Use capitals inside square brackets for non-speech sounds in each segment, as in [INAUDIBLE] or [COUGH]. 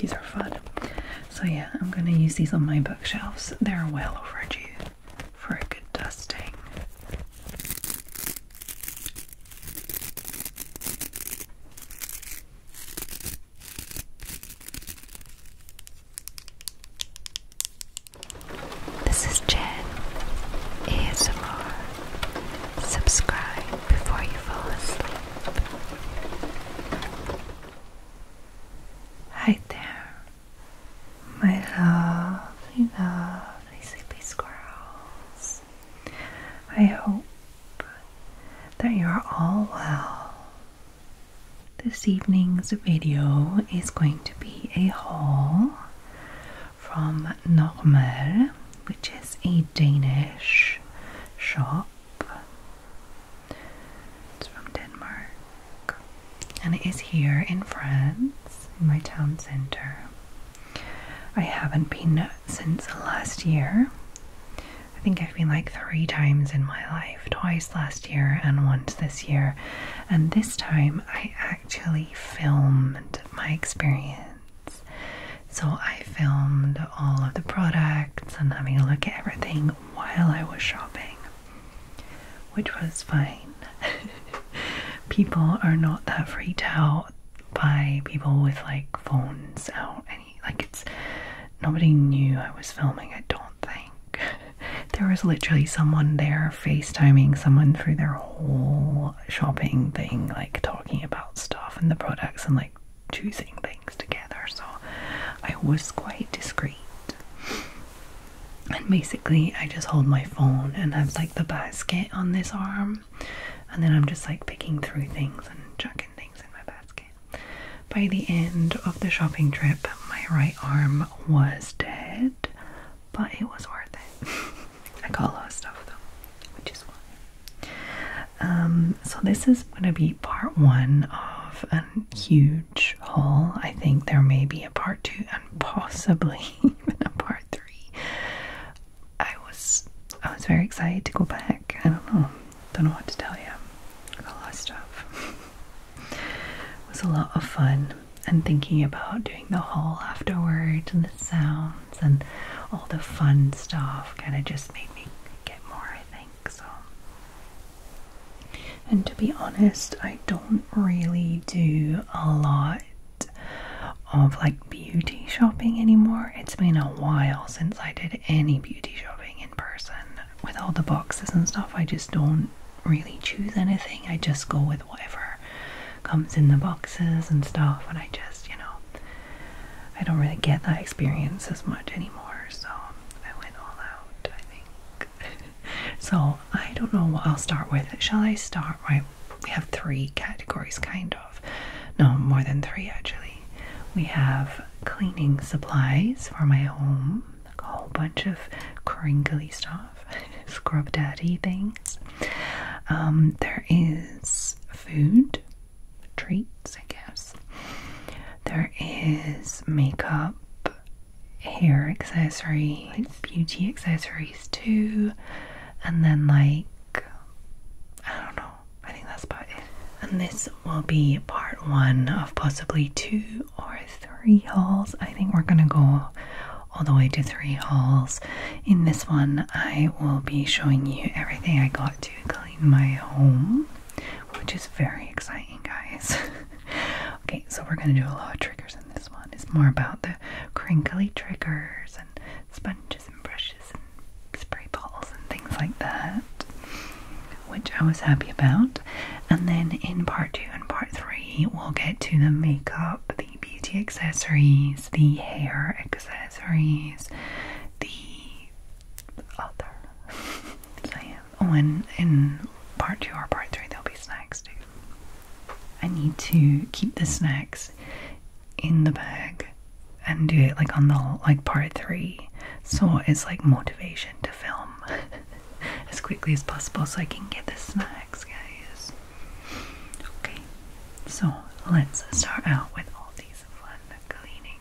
these are fun. So, yeah, I'm going to use these on my bookshelves. They're well overdue for a good dusting. This is Jen ASMR, Subscribe before you fall asleep. Hi there, my lovely, lovely sleepy squirrels. I hope that you're all well. This evening's video is going to be a haul from Normal which is a Danish shop. It's from Denmark and it is here in France, in my town center. I haven't been since last year. I think I've been like three times in my life twice last year and once this year. And this time I actually filmed my experience. So I filmed all of the products and having a look at everything while I was shopping, which was fine. [LAUGHS] people are not that freaked out by people with like phones out. and like it's nobody knew I was filming. I don't think [LAUGHS] there was literally someone there FaceTiming someone through their whole shopping thing, like talking about stuff and the products and like choosing things together, so I was quite discreet. And basically, I just hold my phone and have like the basket on this arm, and then I'm just like picking through things and chucking things in my basket. By the end of the shopping trip, my right arm was dead, but it was worth it. [LAUGHS] I got a lot of stuff though, which is why. Um, so this is going to be part one of a huge haul. I think there may be a part two and possibly [LAUGHS] even a part three. I was I was very excited to go back. I don't know. Don't know what to tell you. Got a lot of stuff. [LAUGHS] it was a lot of fun and thinking about doing the haul afterwards and the sound and all the fun stuff kind of just made me get more, I think. So, and to be honest, I don't really do a lot of like beauty shopping anymore. It's been a while since I did any beauty shopping in person. With all the boxes and stuff, I just don't really choose anything. I just go with whatever comes in the boxes and stuff, and I just, you know, I don't really get that experience as much anymore, so I went all out, I think. [LAUGHS] so I don't know what I'll start with. Shall I start right? We have three categories, kind of. No, more than three actually. We have cleaning supplies for my home, like a whole bunch of crinkly stuff, [LAUGHS] scrub daddy things. Um, there is food, treats, I guess. There is makeup, hair accessory, beauty accessories too, and then like I don't know, I think that's about it. And this will be part one of possibly two or three hauls. I think we're gonna go all the way to three hauls. In this one, I will be showing you everything I got to clean my home, which is very exciting, guys. [LAUGHS] okay, so we're gonna do a lot of triggers in this one. It's more about the crinkly triggers and sponges and brushes and spray balls and things like that, which I was happy about. And then in part two and part three, we'll get to the makeup, the beauty accessories, the hair accessories, the other lamb. [LAUGHS] Oh, and in part two or part three, there'll be snacks too. I need to keep the snacks in the bag and do it like on the like part three, so it's like motivation to film [LAUGHS] as quickly as possible so I can get the snacks, guys. Okay, so let's start out with all these fun cleaning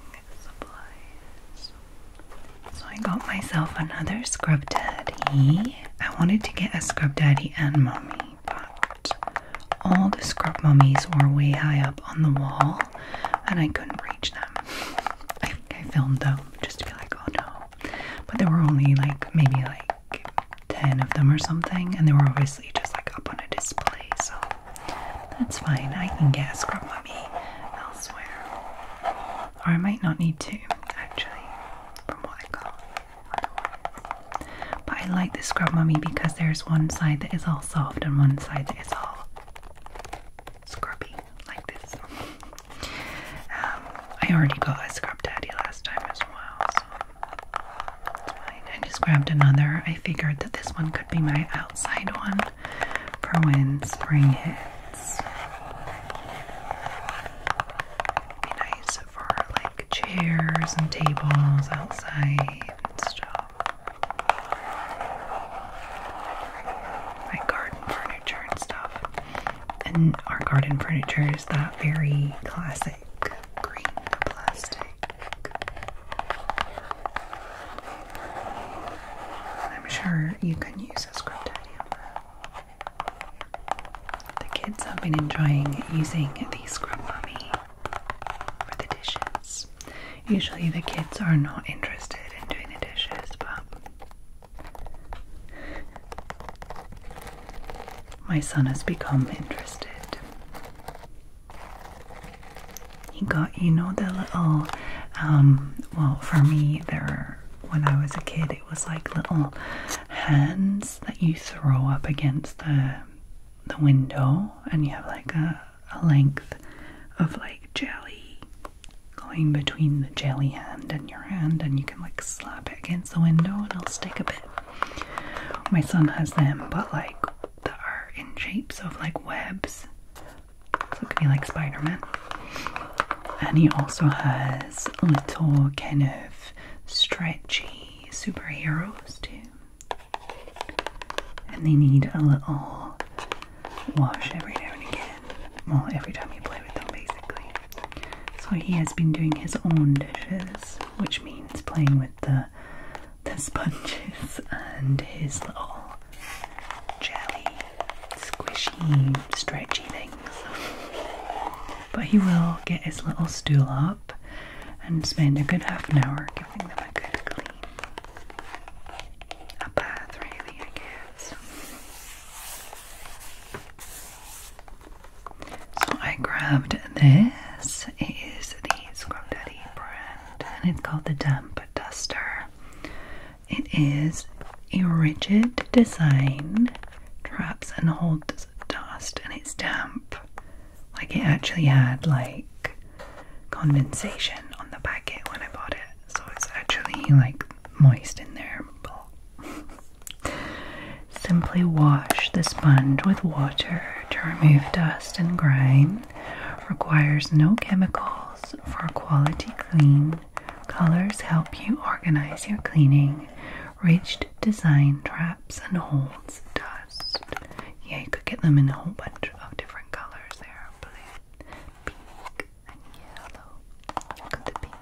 so I got myself another scrub daddy. I wanted to get a scrub daddy and mommy, but all the scrub mummies were way high up on the wall and I couldn't reach them. [LAUGHS] I filmed them just to be like, oh no. But there were only like maybe like 10 of them or something, and they were obviously just like up on a display play, so that's fine. I can get a scrub mummy elsewhere. Or I might not need to, actually, from what I got. But I like the scrub mummy because there's one side that is all soft and one side that is all scrubby, like this. Um, I already got a scrub daddy last time as well, so it's fine. I just grabbed another. I figured that this one could be my outside one for when spring hits. nice for like chairs and tables outside Like garden furniture and stuff. And our garden furniture is that very classic green plastic. I'm sure you can use a script The kids have been enjoying using the scrubby for the dishes. Usually the kids are not interested in doing the dishes, but my son has become interested. You got, you know, the little, um, well, for me, there, when I was a kid, it was like little hands that you throw up against the the window, and you have like a, a length of like jelly going between the jelly hand and your hand, and you can like slap it against the window, and it'll stick a bit. My son has them, but like they are in shapes of like webs so it could like Spider Man. And he also has little kind of stretchy superheroes too. And they need a little wash every now and again. Well, every time you play with them, basically. So he has been doing his own dishes, which means playing with the the sponges and his little jelly squishy stretchy things. But he will get his little stool up and spend a good half an hour giving them a good clean. A bath really I guess. So I grabbed this. It is the Scrub Daddy brand and it's called the Damp Duster. It is a rigid design, traps and holds dust, and it's damp. Like it actually had like condensation on the packet when I bought it, so it's actually like moist in there. [LAUGHS] Simply wash the sponge with water to remove dust and grime requires no chemicals for quality clean. Colors help you organize your cleaning. Ridged design traps and holds dust. Yeah, you could get them in a whole bunch of different colors there. Blue, pink, and yellow. Look at the pink.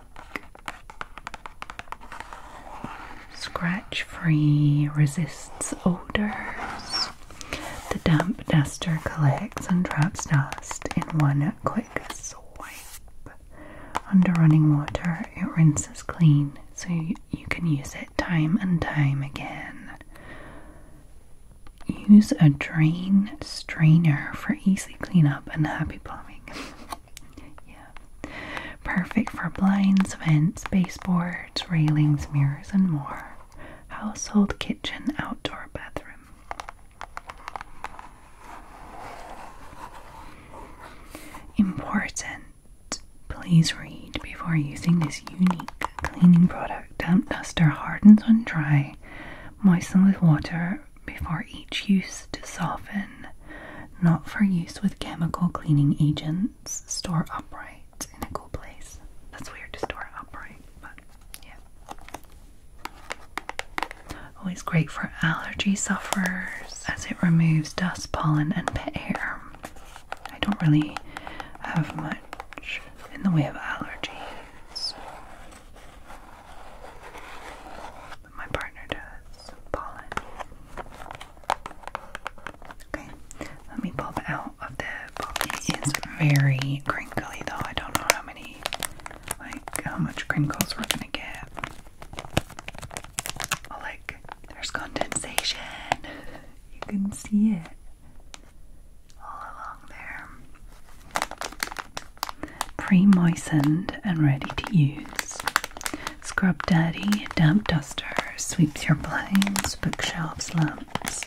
Scratch free, resists odors. The damp duster collects and traps dust in one quick swipe. Under running water, it rinses clean so you, can use it time and time again. Use a drain strainer for easy cleanup and happy plumbing. [LAUGHS] yeah. Perfect for blinds, vents, baseboards, railings, mirrors, and more household kitchen, outdoor bathroom. Important. Please read before using this unique cleaning product. Damp duster hardens when dry. Moisten with water before each use to soften. Not for use with chemical cleaning agents. Store upright upright in a cool place. That's weird to store upright, but yeah. Always great for allergy sufferers as it removes dust, pollen, and pet hair. I don't really have much in the way of allergies. But my partner does pollen. Okay, let me pop out of the it's very crinkly though. I don't know how many, like, how much crinkles we're gonna get. Oh, like, there's condensation. You can see it all along there. Pre moistened and ready to use. Scrub Daddy damp duster sweeps your blinds, bookshelves, lamps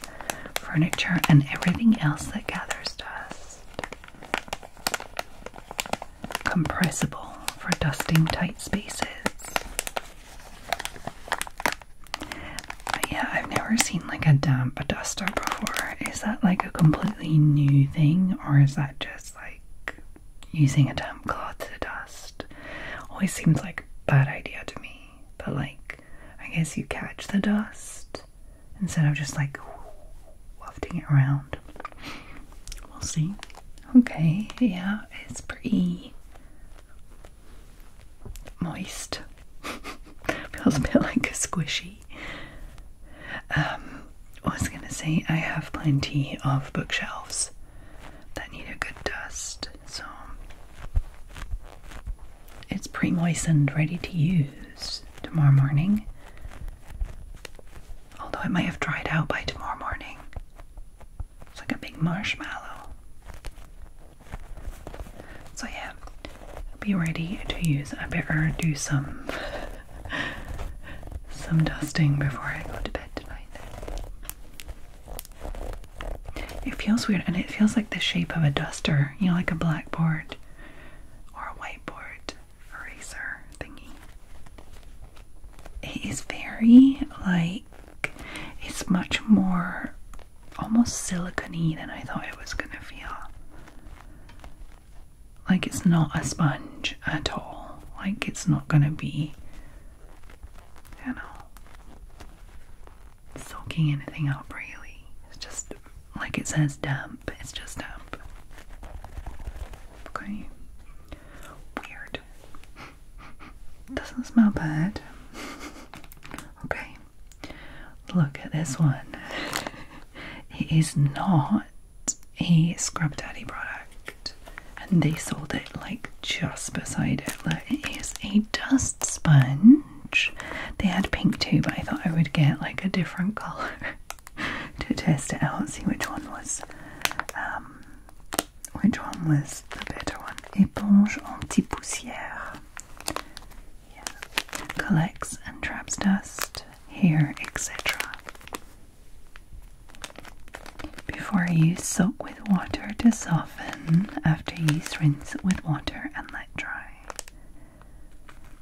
furniture, and everything else that gathers dust. Compressible for dusting tight spaces. But yeah, I've never seen like a damp duster before. Is that like a completely new thing, or is that just like using a damp cloth to dust? Always seems like bad idea to me, but like I guess you catch the dust instead of just like wafting it around. We'll see. Okay, yeah, it's pretty moist. [LAUGHS] Feels a bit like a squishy. Um, I was gonna say I have plenty of bookshelves that need a good dust, so it's pre moistened, ready to use tomorrow morning. Although it might have dried out by tomorrow morning. It's like a big marshmallow. So, yeah, be ready to use. I better do some. [LAUGHS] Some dusting before I go to bed tonight. It feels weird and it feels like the shape of a duster, you know, like a blackboard or a whiteboard eraser thingy. It is very like it's much more almost silicony than I thought it was gonna feel. Like it's not a sponge at all. Like it's not gonna be you know soaking anything up really. It's just like it says damp, it's just damp. Okay. Weird. [LAUGHS] Doesn't smell bad. [LAUGHS] okay. Look at this one. [LAUGHS] it is not a Scrub Daddy product. And they sold it like just beside it. Look, it is a dust sponge. They had pink too, but I thought I would get like a different color [LAUGHS] to test it out, see which one was um, which one was the better one. Éponge anti-poussière. Collects and traps dust, hair, etc. Before use, soak with water to soften. After use, rinse with water and let dry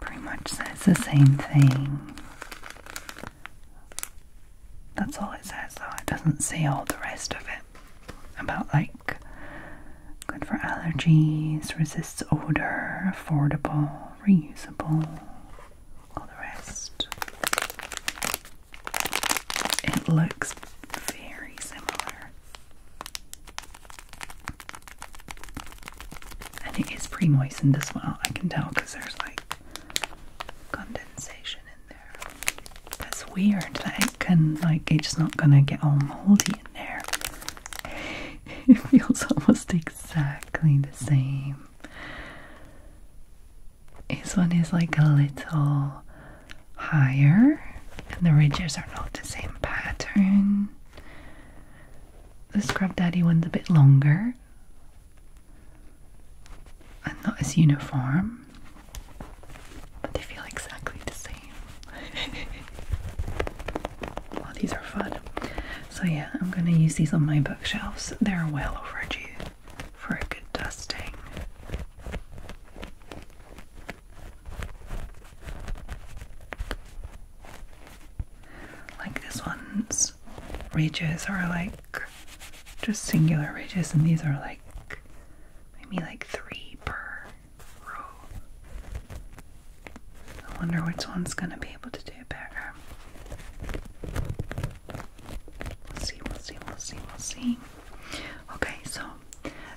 pretty much says the same thing. That's all it says, though. It doesn't say all the rest of it about like good for allergies, resists odor, affordable, reusable, all the rest. It looks very similar. And it is pre moistened as well, I can tell because there's like condensation in there. That's weird that it like, it's not gonna get all moldy in there. [LAUGHS] It feels almost exactly the same. This one is like a little higher and the ridges are not the same pattern. The Scrub Daddy one's a bit longer and not as uniform, but they feel exactly the same. [LAUGHS] well, these are fun. So, yeah, I'm going to use these on my bookshelves. They're well overdue for a good dusting. Like this one's ridges are like just singular ridges, and these are like maybe like three per row. I wonder which one's gonna be able to do better. We'll see, we'll see, we'll see, we'll see. Okay, so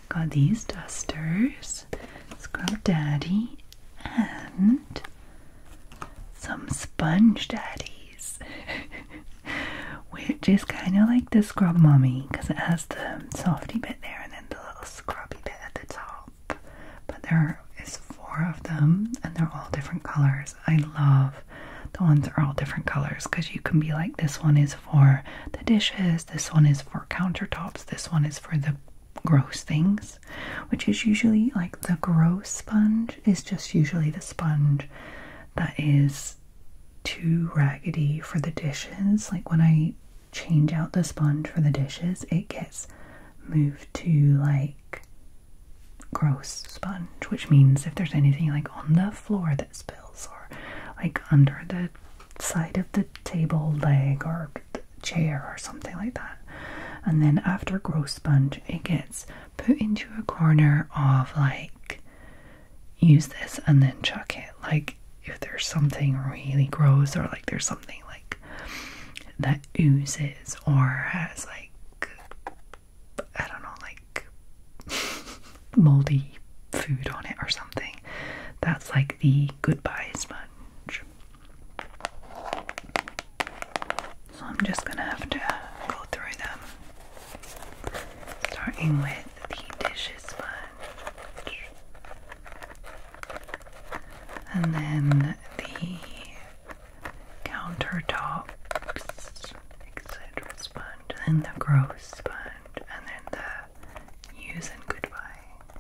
Got these dusters, Scrub Daddy, and some Sponge Daddies, [LAUGHS] which is kind of like the Scrub Mommy because it has the softy bit there and then the little scrubby bit at the top. But there is four of them and they're all different colors. I love the ones are all different colors because you can be like, this one is for the dishes, this one is for countertops, this one is for the gross things, which is usually like the gross sponge is just usually the sponge that is too raggedy for the dishes. Like when I change out the sponge for the dishes, it gets moved to like gross sponge, which means if there's anything like on the floor that spills or like under the side of the table leg or chair or something like that. And then after growth sponge, it gets put into a corner of like use this and then chuck it. Like if there's something really gross or like there's something like that oozes or has like I don't know like [LAUGHS] moldy food on it or something that's like the goodbye sponge. So I'm just gonna have to go through them. Starting with the dishes sponge. And then the countertops, etc. sponge, and the gross sponge, and then the use and goodbye.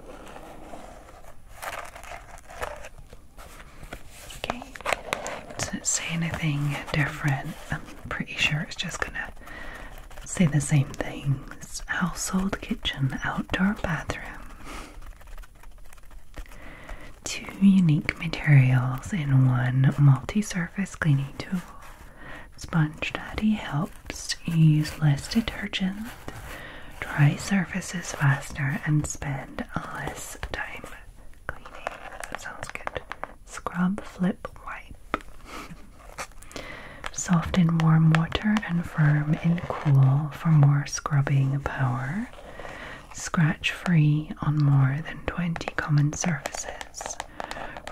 Okay. Doesn't say anything different. I'm pretty sure it's just gonna say the same things. Household kitchen, outdoor bathroom. Two unique materials in one multi-surface cleaning tool. Sponge Daddy helps use less detergent, dry surfaces faster, and spend less time cleaning. sounds good. Scrub, flip, wipe. [LAUGHS] Soft in warm water and firm in cool for more scrubbing power. Scratch free on more than 20 common surfaces.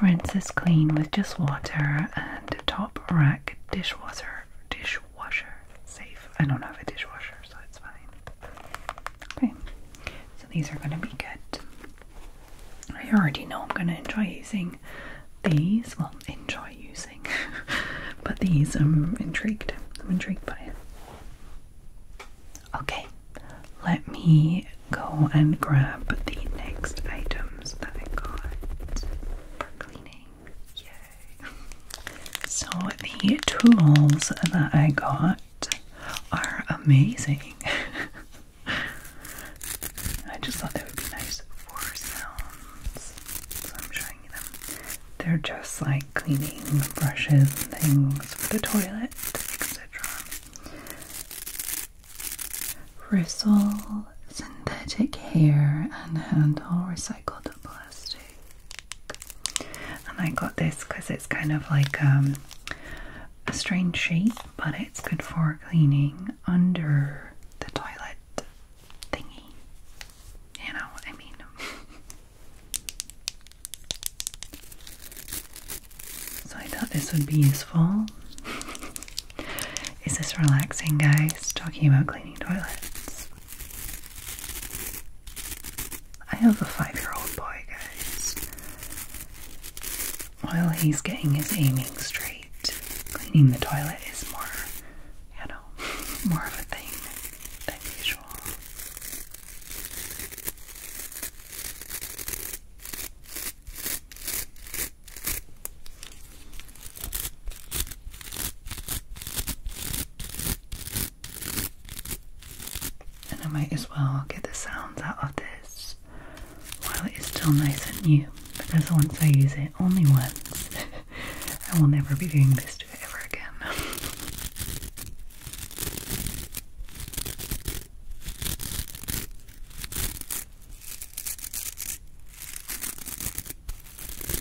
Rinse is clean with just water and top rack dish dishwasher dishwasher safe. I don't have a dishwasher, so it's fine. Okay, so these are gonna be good. I already know I'm gonna enjoy using these. Well, enjoy using, [LAUGHS] but these I'm intrigued. I'm intrigued by it. Okay, let me go and grab the next items that I got for cleaning. Yay. So the tools that I got are amazing. [LAUGHS] I just thought that would be nice for sounds. So I'm showing them. They're just like cleaning brushes and things for the toilet, etc. Rissole synthetic hair and handle recycled plastic. And I got this because it's kind of like um, a strange shape, but it's good for cleaning under the toilet thingy. You know I mean? [LAUGHS] so I thought this would be useful. [LAUGHS] Is this relaxing, guys? Talking about cleaning toilets. I have a five year old boy, guys. While he's getting his aiming straight, cleaning the toilet is more, you know, [LAUGHS] more of a thing than usual. And I might as well get the sounds out of this while it is still nice and new because once I use it only once, [LAUGHS] I will never be doing this to it ever again. [LAUGHS]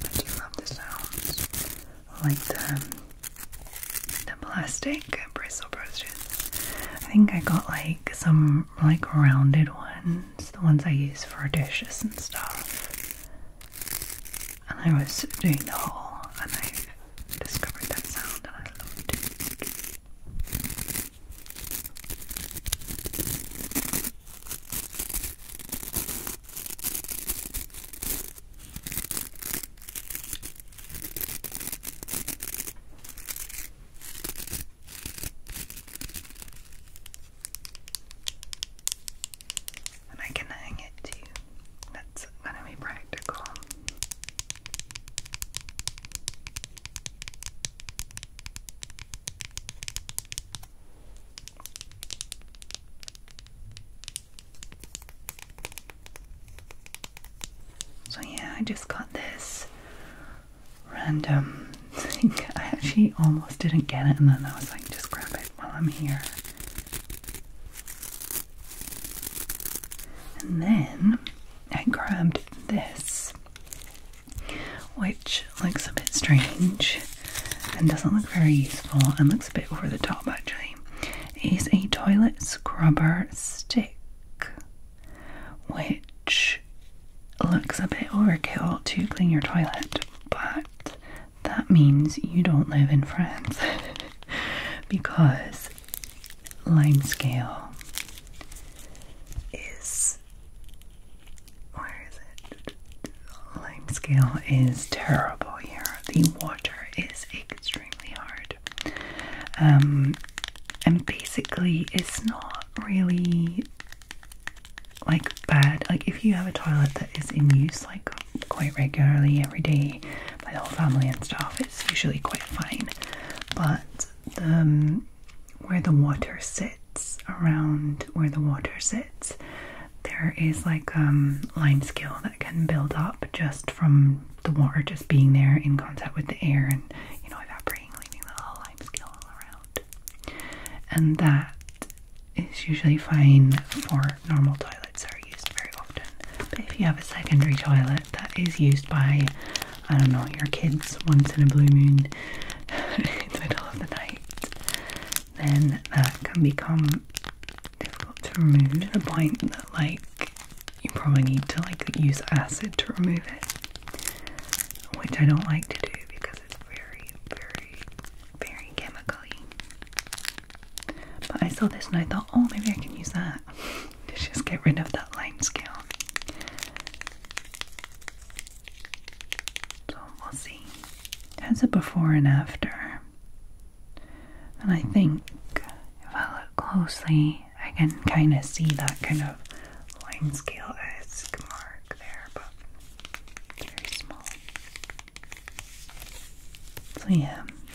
I do love the sounds. Like the the plastic bristle brushes. I think I got like some like rounded ones, the ones I use for dishes and stuff. And I was doing the haul and I discovered that sound and I loved it. And I can hang it too. That's going to be practical. So, yeah, I just got this random thing. [LAUGHS] I actually almost didn't get it, and then I was like, just grab it while I'm here. And then I grabbed this which looks a bit strange and doesn't look very useful and looks a bit over the top actually, is a toilet scrubber stick, which looks a bit overkill to clean your toilet, but that means you don't live in France [LAUGHS] because lime scale is where is it? Limescale is terrible here. The water is extremely hard. Um, and basically, it's not really like bad. Like, if you have a toilet that is in use like quite regularly every day by the whole family and stuff, it's usually quite fine. But um, where the water sits around where the water sits, there is like um line scale that can build up just from the water just being there in contact with the air and you know evaporating, leaving the little lime scale all around. And that is usually fine for normal toilets that are used very often. But if you have a secondary toilet that is used by I don't know, your kids once in a blue moon [LAUGHS] in the middle of the night, then that can become difficult to remove to the point that like you probably need to like use acid to remove it, which I don't like to do because it's very, very, very chemically. But I saw this and I thought, oh, maybe I can use that [LAUGHS] to just get rid of that lime scale. So we'll see. That's a before and after. And I think if I look closely, I can kind of see that kind of line scale esque mark there, but very small. So, yeah, [LAUGHS]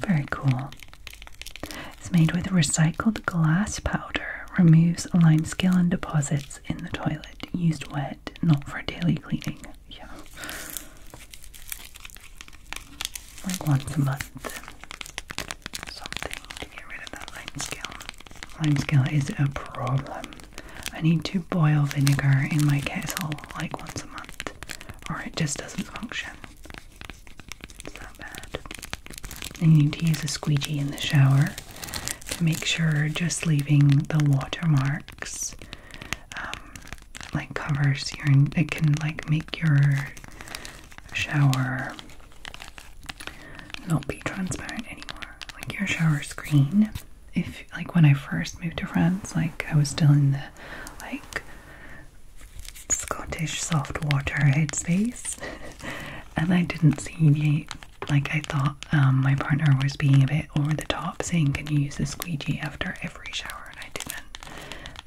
very cool. It's made with recycled glass powder, removes lime scale and deposits in the toilet used wet, not for daily cleaning. Yeah. Like once a month. Something to get rid of that limescale. Limescale is a problem. I need to boil vinegar in my kettle like once a month, or it just doesn't function. It's bad. I need to use a squeegee in the shower to make sure just leaving the watermarks um, like covers your it can like make your shower not be transparent anymore like your shower screen if like when I first moved to France like I was still in the like Scottish soft water headspace [LAUGHS] and I didn't see the like I thought um, my partner was being a bit over the top saying can you use a squeegee after every shower and I didn't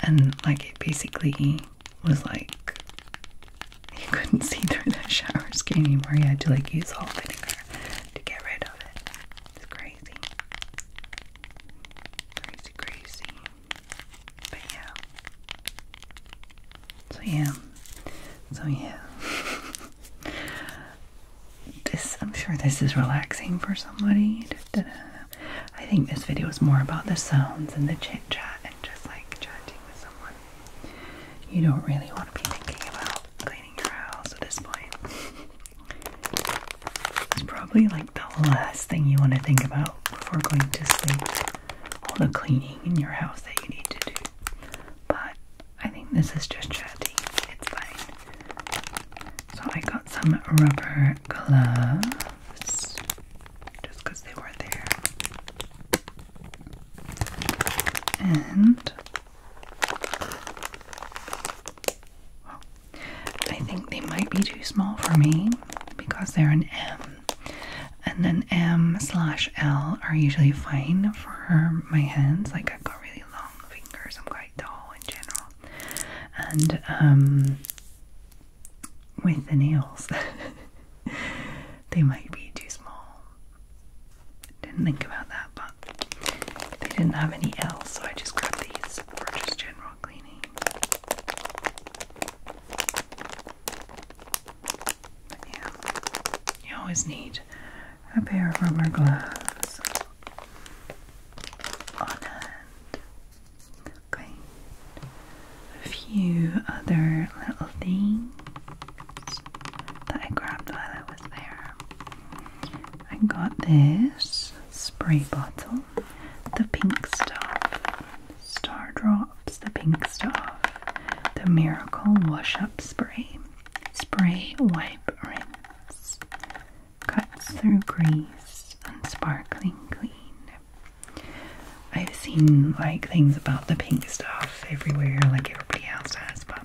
and like it basically was like you couldn't see through the shower skin anymore you had to like use all vinegar to get rid of it it's crazy crazy crazy but yeah so yeah, so yeah. [LAUGHS] this I'm sure this is relaxing for somebody. I think this video is more about the sounds and the chit chat and just like chatting with someone. You don't really want to be thinking about cleaning your house at this point. [LAUGHS] it's probably like the last thing you want to think about before going to sleep. All the cleaning in your house that you need to do. But I think this is just chatty. It's fine. So I got some rubber gloves just because they were there. And I think they might be too small for me because they're an M. And then M slash L are usually fine for my hands. Like I've got really long fingers. I'm quite tall in general, and um, with the nails, [LAUGHS] they might be too small. Didn't think about that, but they didn't have any L, so I just grabbed these for just general cleaning. But yeah, you always need a pair of rubber gloves on A few other little things that I grabbed while I was there. I got this spray bottle, the pink stuff, Star Drops, the pink stuff, the Miracle Wash Up Spray. Spray wipe rinse. Cuts through grease and sparkling clean. I've seen like things about the pink stuff everywhere, like everybody else has, but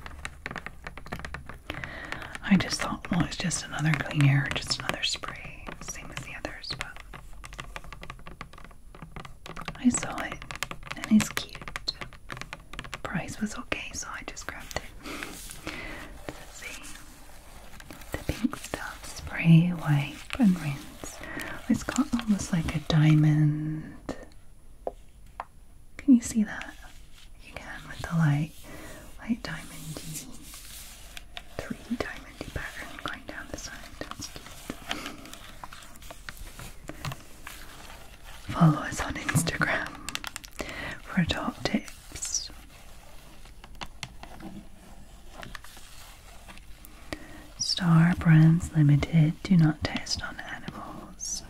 I just thought, well, it's just another cleaner, just another spray, same as the others, but I saw it and it's cute price was okay, so I just grabbed it. Let's see. The pink stuff, spray, wipe, and rinse. It's got almost like a diamond. Can you see that? You can with the light, light diamondy, three diamondy pattern going down the side. That's cute. Follow us on Instagram for top tips. Star Brands Limited do not test on animals.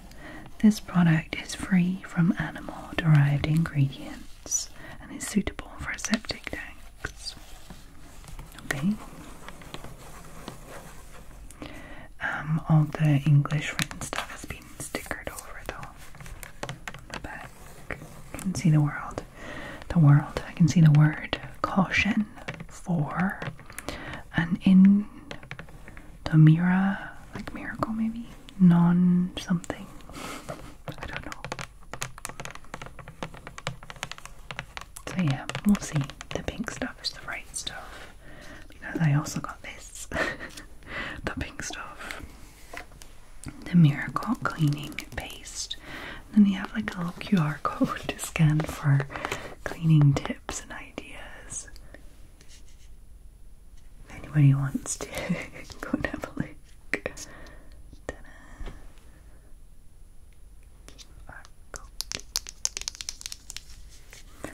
This product is free from animal derived ingredients and is suitable for septic tanks. Okay. Um, all the English written stuff has been stickered over though. On the back. I can see the world. The world. I can see the word caution for an in the mirror like miracle maybe? Non something. I don't know. So yeah, we'll see. The pink stuff is the right stuff because I also got this [LAUGHS] the pink stuff. The Miracle Cleaning Paste. then you have like a little QR code [LAUGHS] to scan for cleaning tips and ideas. If anybody wants to [LAUGHS] go and have a look.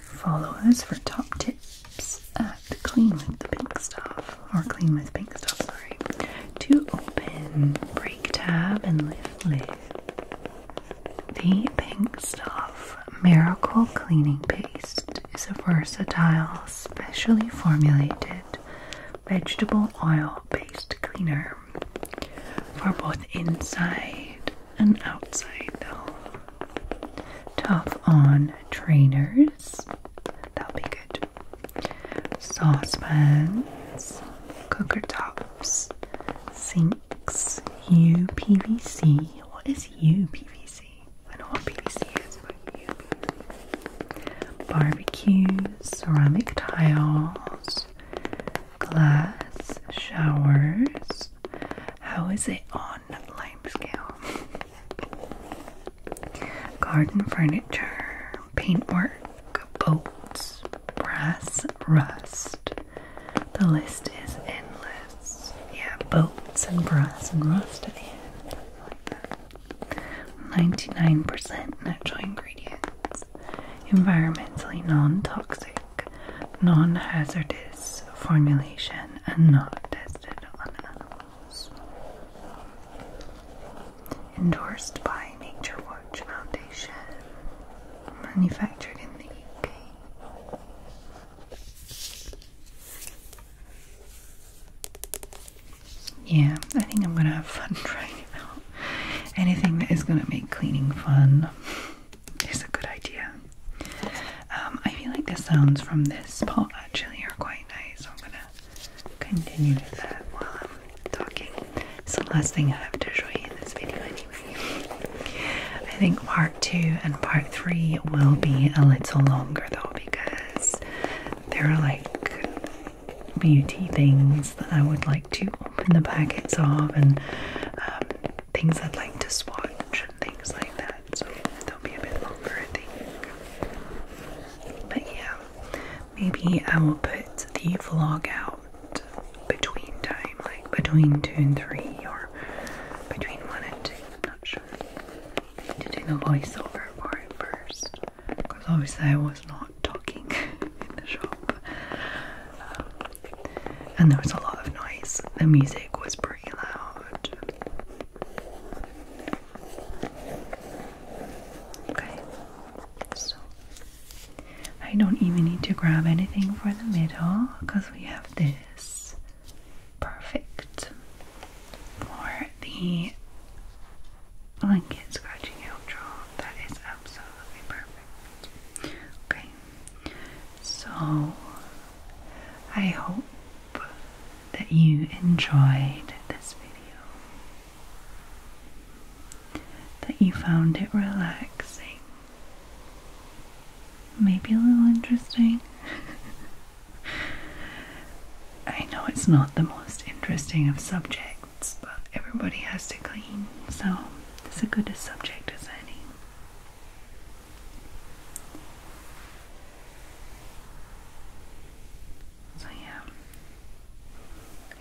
Follow us for top tips at Clean with the Pink Stuff, or Clean with Pink Stuff, sorry, to open, break tab, and lift lid. The Pink Stuff Miracle Cleaning Paste is a versatile, specially formulated vegetable oil based cleaner for both inside and outside the home. Tough on trainers. That'll be good. Saucepans, cooker tops, sinks, UPVC. What is UPVC? I know what PVC is, but UPVC. Barbecues, ceramic tiles, glass showers, how is it on lime scale? Garden furniture, paintwork, boats, brass, rust. The list is endless. Yeah, boats and brass and rust 99% natural ingredients. Environmentally non toxic non hazardous formulation and not tested on animals. Endorsed by Nature Watch Foundation. Manufactured in the UK. Yeah, I think I'm gonna have fun [LAUGHS] trying it out. Anything that is gonna make cleaning fun. It's a good idea. Um, I feel like the sounds from this pot actually are quite nice, so I'm gonna continue with that while I'm talking. So last thing I have to show you in this video, anyway. I think part two and part three will be a little longer though, because there are like beauty things that I would like to open the packets of and um, things I'd like to swatch and things like that. So they'll be a bit longer, I think. But yeah, maybe I will put the vlog out between time, like between two and three, or between one and two. I'm not sure. Need To do the voiceover for it first, because obviously I was not talking [LAUGHS] in the shop, um, and there was a lot of noise. The music was. pretty. Okay, so I don't even need to grab anything for the middle because we have this perfect for the blanket scratching outro. That is absolutely perfect. Okay, so I hope that you enjoyed this video, that you found it relaxing, maybe a little interesting. [LAUGHS] I know it's not the most interesting of subjects, but everybody has to clean, so it's as good a subject as any. So yeah,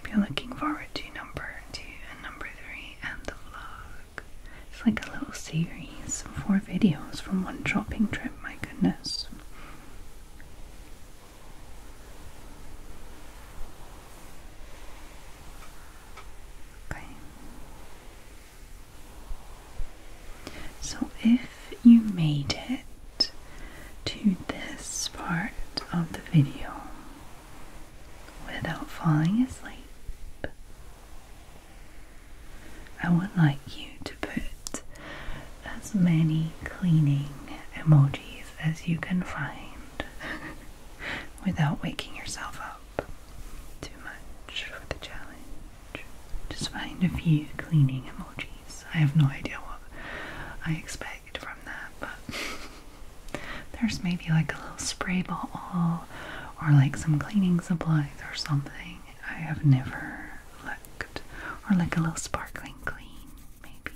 be looking forward to number two and number three and the vlog. It's like a little series, of four videos from one dropping trip. My goodness. Okay. So, if you made it to this part of the video without falling asleep, I would like you to put as many cleaning emojis as you can find [LAUGHS] without waking yourself up too much for the challenge. Just find a few cleaning emojis. I have no idea what I expect from that, but [LAUGHS] there's maybe like a little spray bottle or like some cleaning supplies or something. I have never looked. Or like a little sparkling clean, maybe.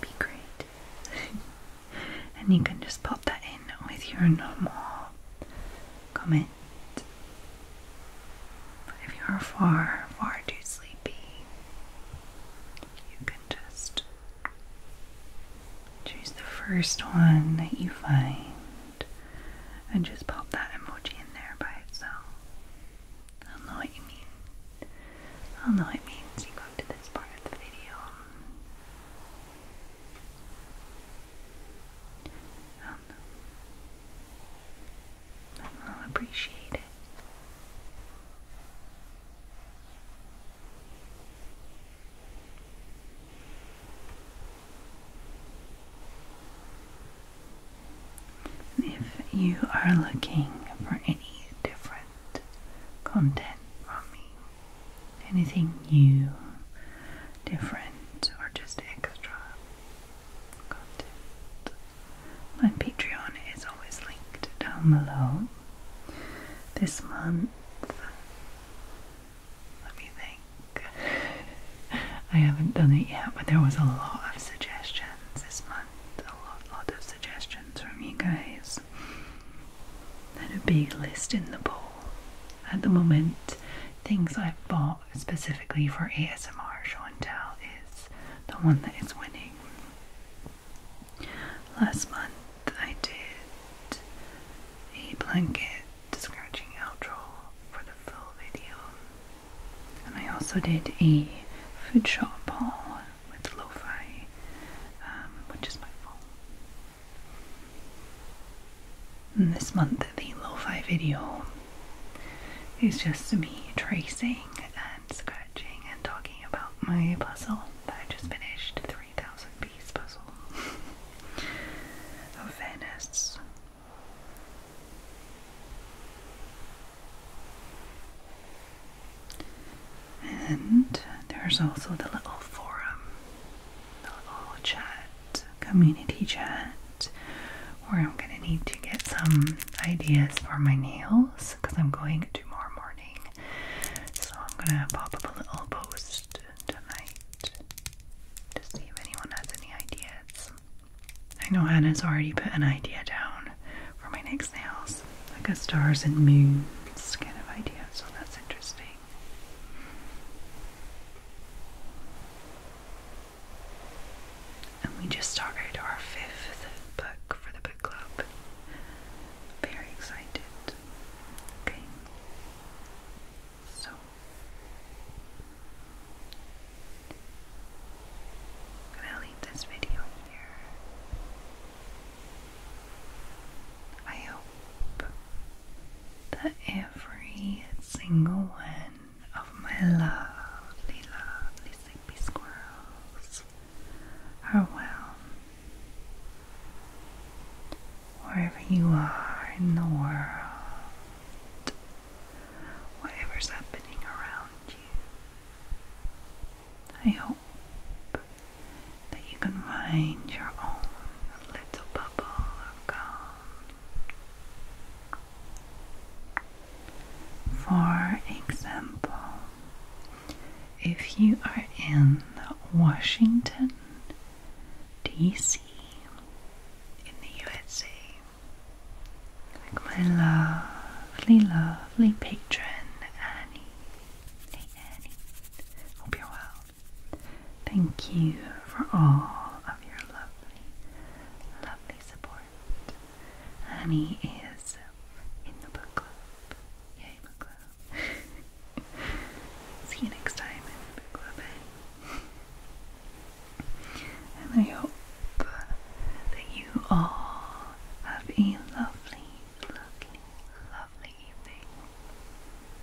Be great. [LAUGHS] and you can just pop that in with your normal comment. if you're far, far too sleepy, you can just choose the first one that you find and just pop that emoji in there by itself. I'll know what you mean. I'll know what it means you got to this part of the video i will appreciate it. If you are looking for any different content from me, anything new, different, or just extra content. My Patreon is always linked down below. This month, let me think. [LAUGHS] I haven't done it yet, but there was a lot of suggestions this month. A lot, lot of suggestions from you guys items. Then a big list in the bowl. At the moment, things I've bought specifically for ASMR show tell is the one that is winning. Last month I did a blanket scratching outro for the full video. And I also did a food shop haul with LoFi, um, which is my phone. And this month, the lo-fi video is just me tracing and scratching and talking about my puzzle that I just finished, 3,000 piece puzzle of Venice. And there's also the little forum little chat, community chat, where I'm going to need to get some ideas for my nails because I'm going tomorrow morning. So I'm going to pop up a little post tonight to see if anyone has any ideas. I know Hannah's already put an idea down for my next nails, like a stars and moons kind of idea, so that's interesting. And we just started our fifth book for the book club. Very excited. Okay. So I'm gonna leave this video here. I hope that every single one of my lovely, lovely sleepy squirrels are well. Wherever you are in the world, whatever's happening around you, I hope that you can find your own little bubble of calm. For example, if you are in Washington, D.C., in the USA, like my lovely, lovely patron Annie. Hey Annie, hope you're well. Thank you for all of your lovely, lovely support. Annie is in the book club. Yay, book club. [LAUGHS] See you next time in book club. Eh? and I hope that you all have a lovely, lovely, lovely evening